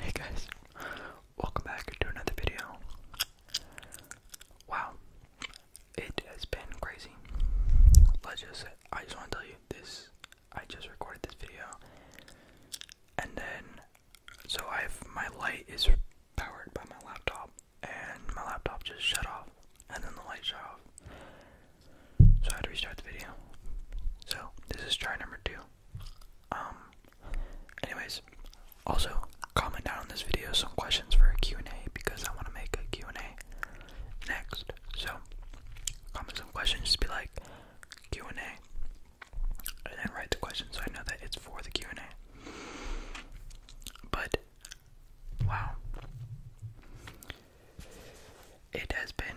Hey guys, welcome back to another video. Wow, it has been crazy. Let's just, I just want to tell you this, I just recorded this video, and then, so I have, my light is powered by my laptop, and my laptop just shut off, and then the light shut off. So I had to restart the video. So, this is try number two. Um, anyways, also comment down on this video some questions for a Q&A because I want to make a Q&A next. So, comment some questions, just be like Q&A, and then write the question so I know that it's for the Q&A. But, wow. It has been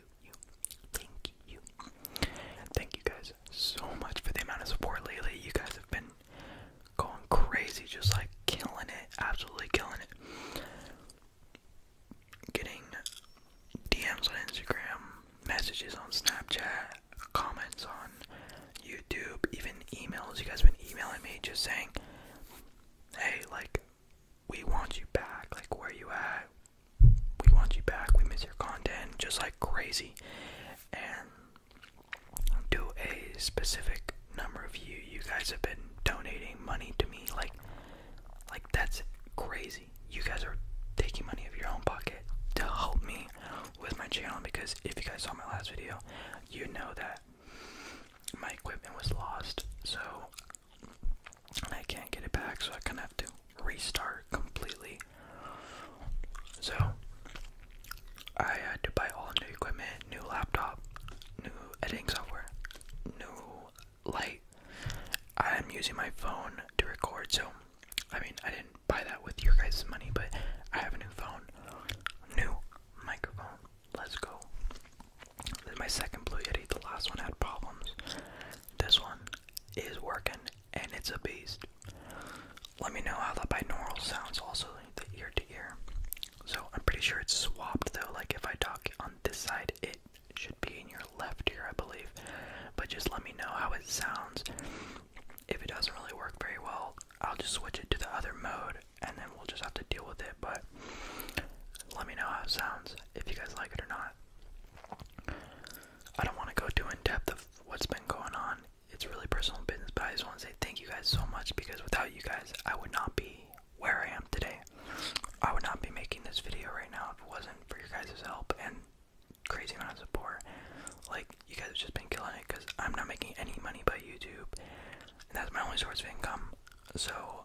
you, you, thank you. Thank you guys so much for the amount of support lately. You guys have been going crazy, just like killing it, absolutely killing it. Getting DMs on Instagram, messages on Snapchat, comments on YouTube, even emails. You guys have been emailing me just saying, hey, like, we want you back. Like, where you at? we want you back. We miss your content just like crazy. And do a specific number of you. You guys have been donating money to me like like that's crazy. You guys are taking money out of your own pocket to help me with my channel because if you guys saw my last video, you know that my equipment was lost. So I can't get it back, so I kind of have to restart completely. So I had to buy all new equipment, new laptop, new editing software, new light. I'm using my phone to record, so I mean, I didn't buy that with your guys' money, but I have a new phone, new microphone. Let's go. my second Blue Yeti. The last one had problems. This one is working and it's a beast. Let me know how the binaural sounds also the ear to ear. So I'm pretty sure it's swapped though, like if I talk on this side it should be in your left ear, I believe. But just let me know how it sounds. If it doesn't really work very well, I'll just switch it to the other mode and then we'll just have to deal with it. But let me know how it sounds, if you guys like it or not. I don't want to go too in depth of what's been going on. It's really personal business, but I just want to say thank you guys so much because without you guys, I would not be where I am today. I would not be making this video right now if it wasn't for your guys' help and crazy amount of support. Like, you guys have just been killing it because I'm not making any money by YouTube, and that's my only source of income. So,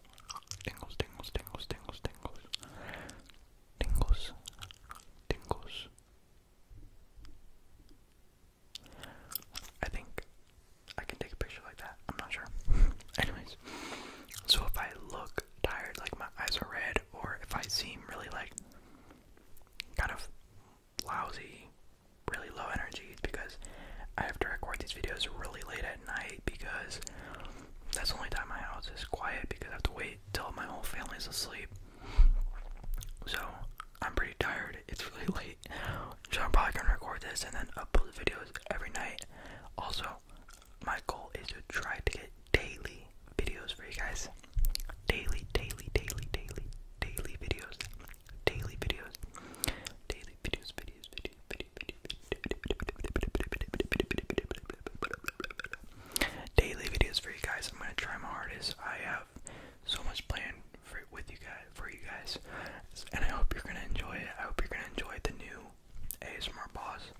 tingles, tingles, tingles, tingles, tingles, tingles, tingles, tingles. I think I can take a picture like that. I'm not sure. Anyways, so if I look tired, like my eyes are red, or if I seem really like kind of lousy really low energy because I have to record these videos really late at night because that's the only time my house is quiet because I have to wait till my whole family's asleep. So I'm pretty tired. It's really late. So I'm probably gonna record this and then upload the videos every night. Also, my goal is to try to get daily videos for you guys. Daily, daily, daily, daily, daily videos daily videos, daily videos, videos, videos, videos, videos, daily videos for you guys. I'm gonna try my hardest. I have so much planned for with you guys, for you guys, and I hope you're gonna enjoy it. I hope you're gonna enjoy the new ASMR boss,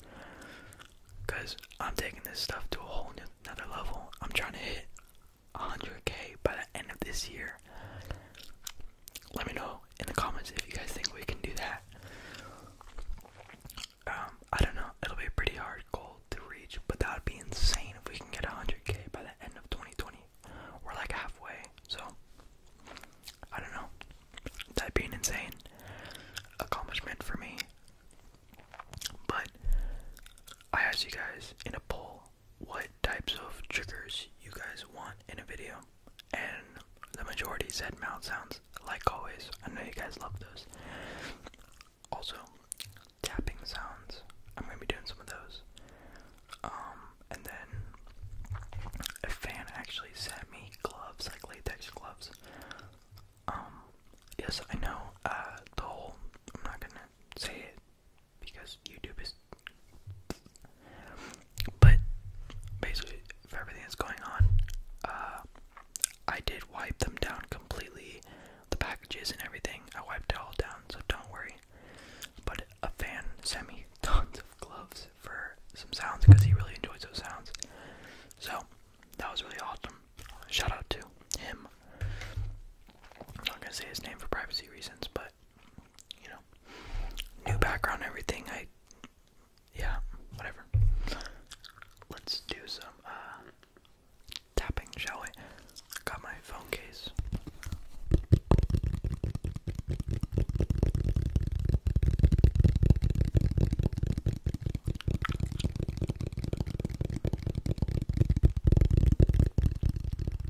cause I'm taking this stuff to a whole new, another level. I'm trying to hit 100k by the end of this year let me know in the comments if you guys think we can do that. Um, I don't know. It'll be a pretty hard goal to reach, but that would be insane if we can get 100k by the end of 2020. We're like halfway, so I don't know. That'd insane accomplishment for me. But I asked you guys in a poll what types of triggers you guys want in a video, and the majority said mouth sounds, like always. I know you guys love those. Also, tapping sounds. I'm gonna be doing some of those. Um, and then a fan actually sent me gloves, like latex gloves. Um, yes, I know. Uh, the whole. I'm not gonna say it because YouTube is. But basically, for everything that's going on, uh, I did wipe them down completely, the packages and everything. I wiped it all down, so don't worry. But a fan sent me tons of gloves for some sounds because he really enjoys those sounds. So that was really awesome. Shout out to him. I'm not gonna say his name for privacy reasons, but you know, new background, everything. I, yeah, whatever. Let's do some uh, tapping, shall we? Got my phone case.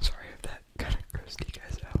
Sorry if that kind of grossed you guys out.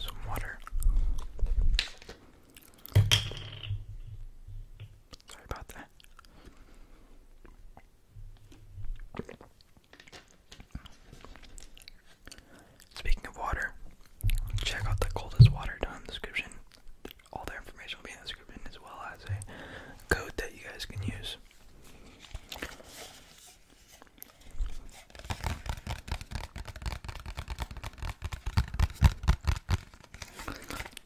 Some water. Sorry about that. Speaking of water, check out the coldest water down description all their information will be in the description as well as a code that you guys can use.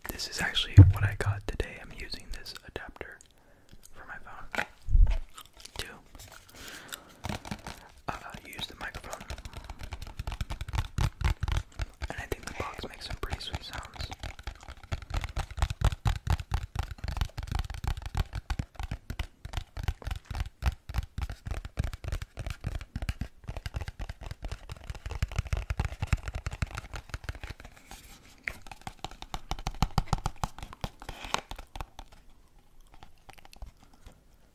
This is actually what I got today. I'm using this adapter for my phone. Too uh, use the microphone. And I think the box makes some pretty sweet sounds.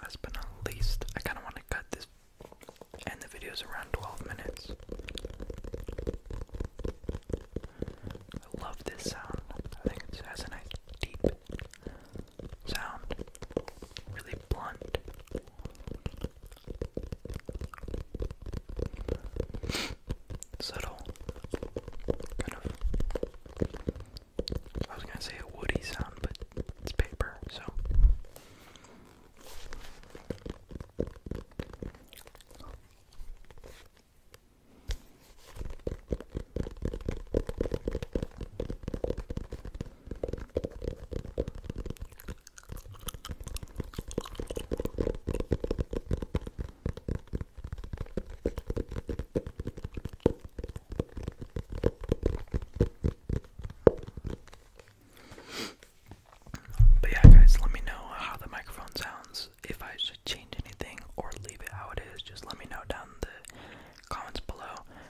That's been least. I kind of want to cut this, and the video's around 12 minutes. I love this sound. I think it has a nice deep sound. Really blunt. Subtle. Kind of. I was gonna say a woody sound, but it's paper, so. But yeah, guys, let me know how the microphone sounds. If I should change anything or leave it how it is, just let me know down the comments below.